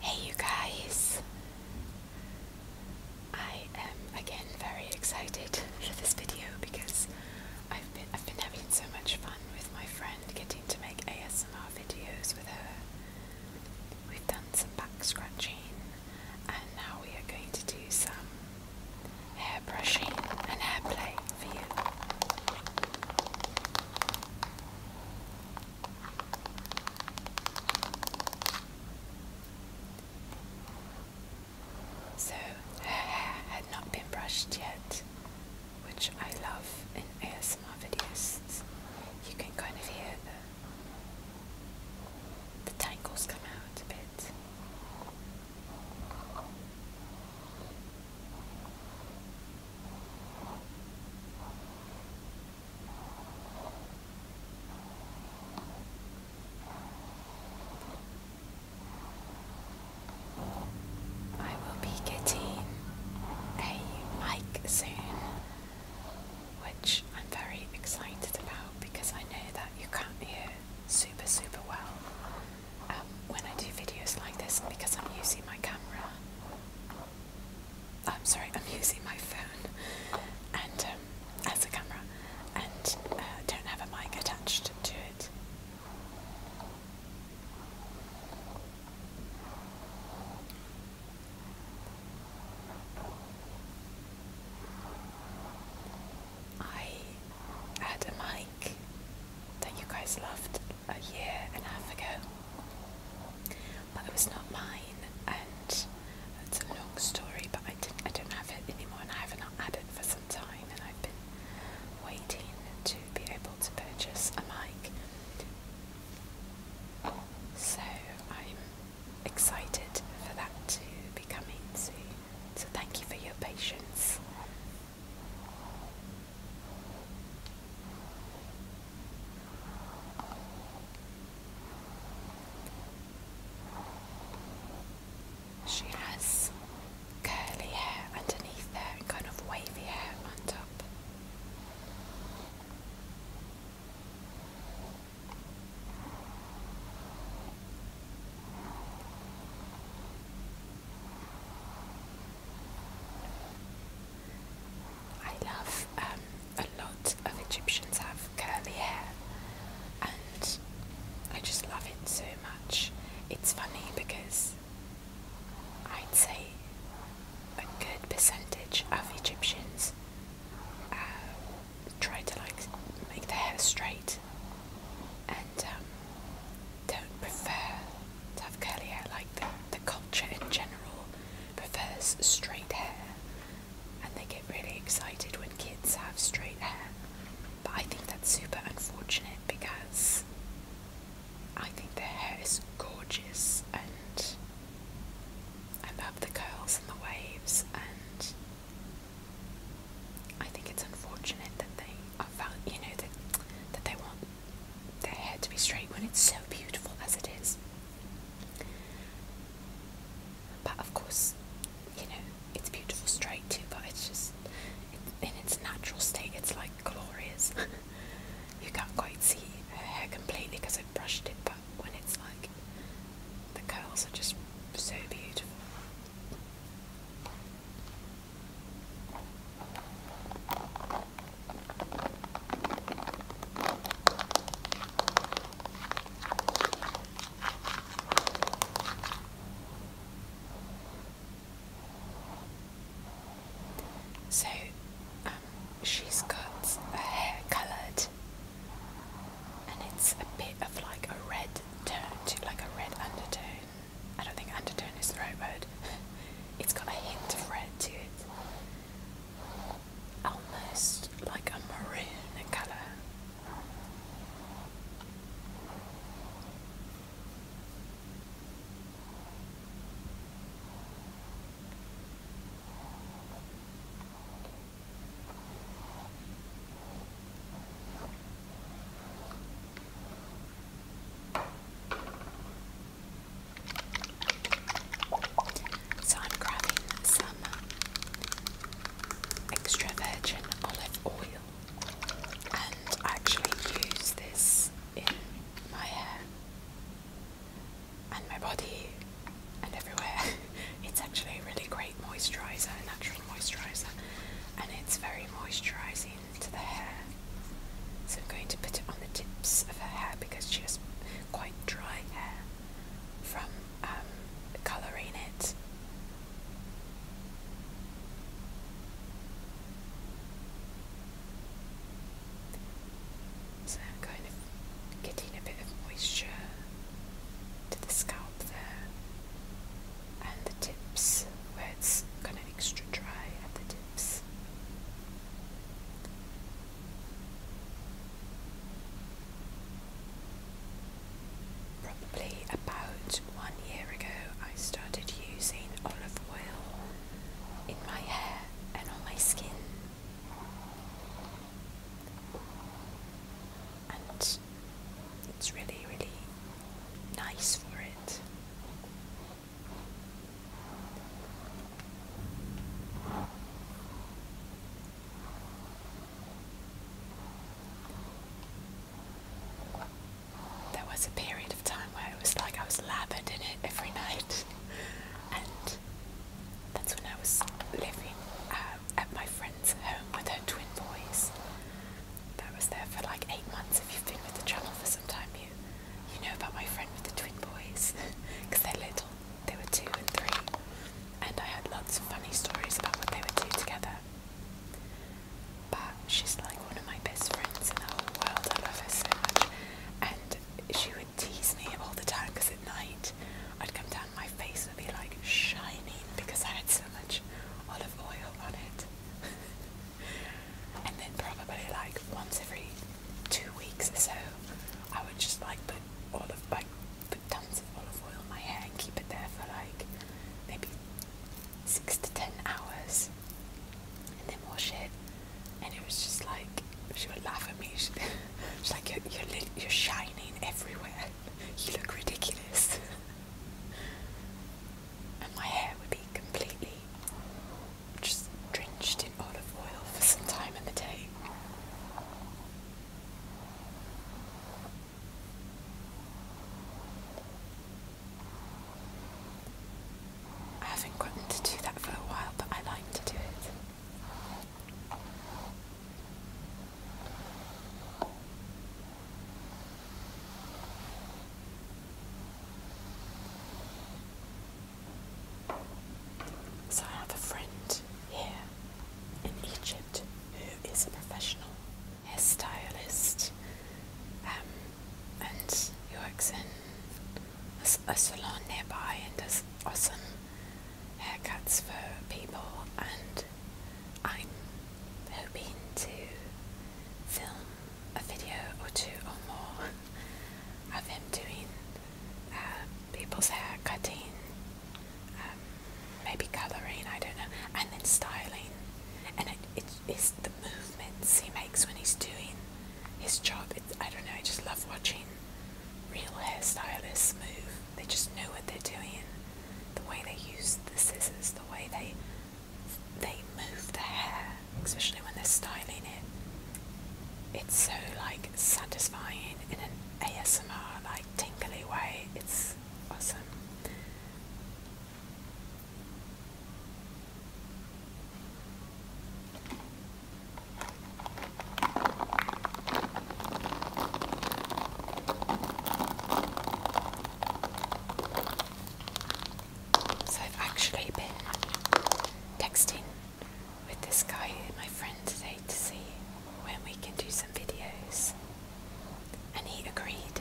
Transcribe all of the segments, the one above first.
Hey, you guys! I am again very excited for this video because I've been I've been having so much fun with my friend, getting to make ASMR videos with her. We've done some back scratching, and now we are going to do some hair brushing and hair play for you. So her hair had not been brushed yet, which I love in ASMR videos. You can kind of hear the the tangles come out a bit. I will be getting a mic soon, which I'm very excited about because I know that you can't hear super, super well um, when I do videos like this, because I'm using my camera, I'm sorry, I'm using my phone and um, as a camera and uh, don't have a mic attached to it. I had a mic that you guys loved a year and a half ago, but it was not mine, and it's a long story. But I didn't, I don't have it anymore, and I have not had it for some time, and I've been waiting to be able to purchase a mic. So I'm excited for that to be coming soon. So thank you for your patience she has curly hair underneath there and kind of wavy hair on top. I love um, a lot of Egyptians have curly hair, and I just love it so much. It's funny because I'd say a good percentage of Egyptians uh, try to like make their hair straight, and um, don't prefer to have curly hair like the, the culture in general prefers straight hair and they get really excited when kids have straight hair but I think that's super unfortunate because I think the hair is gorgeous and I love the curls and the waves and I think it's unfortunate that they are, you know, that they want their hair to be straight when it's so beautiful as it is. But of course, you know, it's beautiful straight too. But it's just in its natural state, it's like glorious. you can't quite see her hair completely because I have brushed it, but when it's like the curls are just so beautiful. So um, she's got her hair coloured and it's a bit of like a red tone to like a red undertone. I don't think undertone is the right word. it's got a hint of red to it. Almost like a maroon in colour. So I'm grabbing some extra virgin olive oil and I actually use this in my hair and my body and everywhere. it's actually a really great moisturiser and moisturiser and it's very moisturising to the hair. So I'm going to put it on the tips of her hair because she has quite dry hair from um, colouring it. So I'm kind of getting a bit of moisture to the scalp there and the tips where it's kind of extra dry at the tips. Probably about one year ago, I started using olive oil in my hair and on my skin and it's really, really nice for it. There was a period of time where it was like I was lathered in it every night, and that's when I was living uh, at my friend's home with her twin boys. That was there for like eight months. If you've been with the channel for some time, you you know about my friend with the twin boys because they're little. They were two and three, and I had lots of funny stories about what they would do together. But she's like one of my best friends in the whole world. I love her so much, and she would tease me all the time because at night I'd come down, my face would be like shining because I had so much olive oil on it. and then probably like once every two weeks or so, I would just like put olive, like put tons of olive oil in my hair and keep it there for like maybe six to ten hours, and then wash it. And it was just like she would laugh at me. She, she's like, "You're you're, you're shining everywhere. You look ridiculous." and my hair would be completely just drenched in olive oil for some time in the day. I haven't gotten to do that for a while, but I like to do it. So I have a friend here in Egypt who is a professional hairstylist um, and he works in a salon nearby and does awesome haircuts for people and I'm hoping to film a video or two or more of him doing uh, people's hair cutting, um, maybe colouring, I don't know, and then styling. And it is the movements he makes when he's doing his job. I don't know, I just love watching real hairstylists move they just know what they're doing. The way they use the scissors, the way they they move the hair, especially when they're styling it. It's so like satisfying in an ASMR like tinkly way. It's awesome. So I've actually been texting with this guy, my friend today, to see when we can do some videos. And he agreed.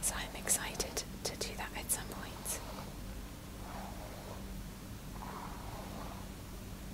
So I'm excited to do that at some point.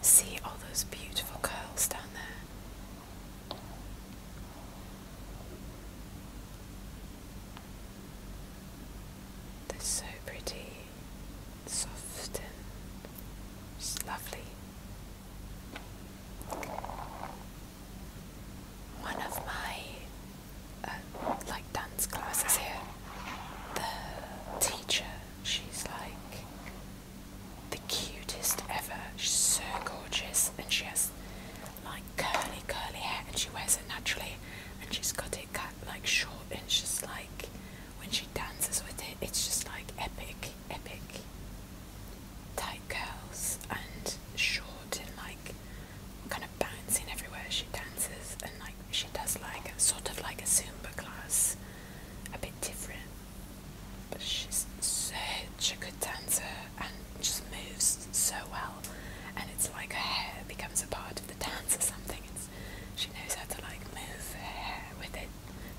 See all those beautiful curls down there. They're so pretty, soft, and just lovely. One of my uh, like dance classes here, the teacher She's like the cutest ever. She's so gorgeous and she has like curly, curly hair and she wears it naturally and she's got it cut like short and she's like when she dances with it it's just like epic, epic. Tight curls and short and like kind of bouncing everywhere. She dances and like she does like sort of like a Zumba class a bit different. But she's such a good dancer and just moves so well. And it's like her hair becomes a part of the dance or something. It's, she knows how to like move her hair with it,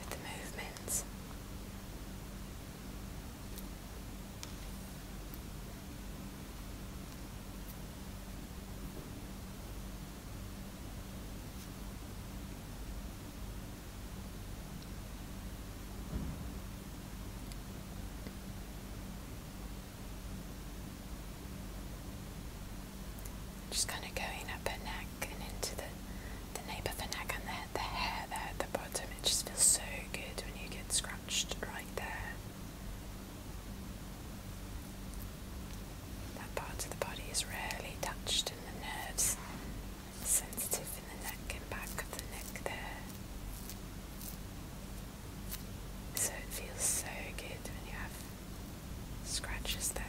with the movements. Just kind of going up her neck and into the the nape of her neck and the, the hair there the bottom. It just feels so good when you get scratched right there. That part of the body is rarely touched, and the nerves sensitive in the neck and back of the neck there. So it feels so good when you have scratches there.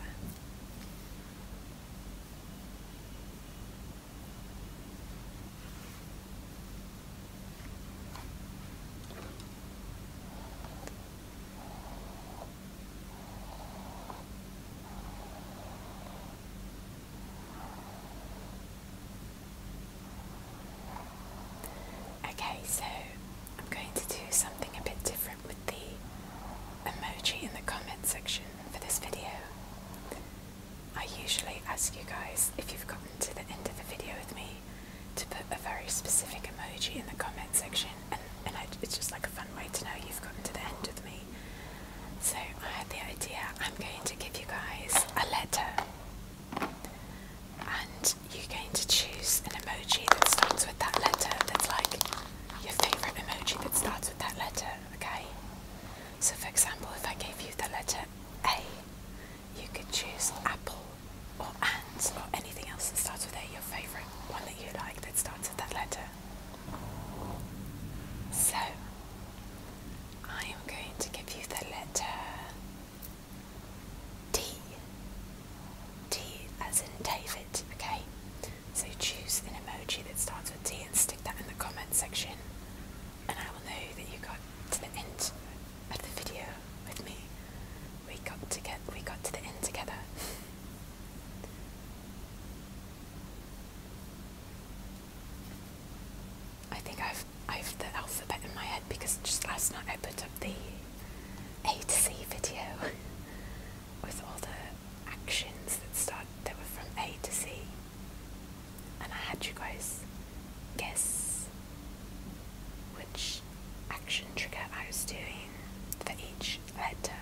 Okay, so I'm going to do something a bit different with the emoji in the comment section for this video. I usually ask you guys if you've gotten to the end of the video with me to put a very specific emoji in the comment section, and, it's just like a fun way to know you've gotten to the end with me. So I had the idea I'm going to give you guys a letter, and you're going to choose an emoji that starts with that letter that's like your favourite emoji that starts with that letter, okay? So, for example, if I gave you the letter A, you could choose apple or and, or anything else that starts with A, your favourite one that you like that starts with that letter. So, I am going to give you the letter T. D as in David, okay? So choose an emoji that starts with T and stick that in the comment section and I will know that you got to the end of the video with me we got to get we got to the end together. I think I've I've the alphabet in my head because just last night I put up the A to C video with all the actions that start that were from A to C, and I had you guys guess which action trigger I was doing for each letter.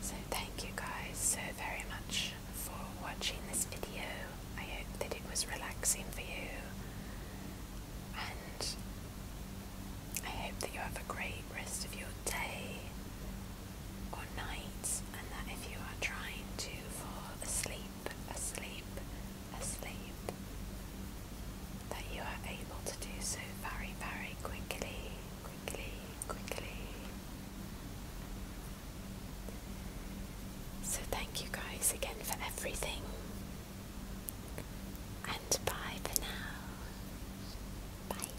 So thank you guys so very much for watching this video. I hope that it was relaxing for you and I hope that you have a great rest of your day or nights, and that if you are trying to fall asleep, asleep, asleep, that you are able to do so very, very quickly, quickly, quickly. So, thank you guys again for everything, and bye for now. Bye.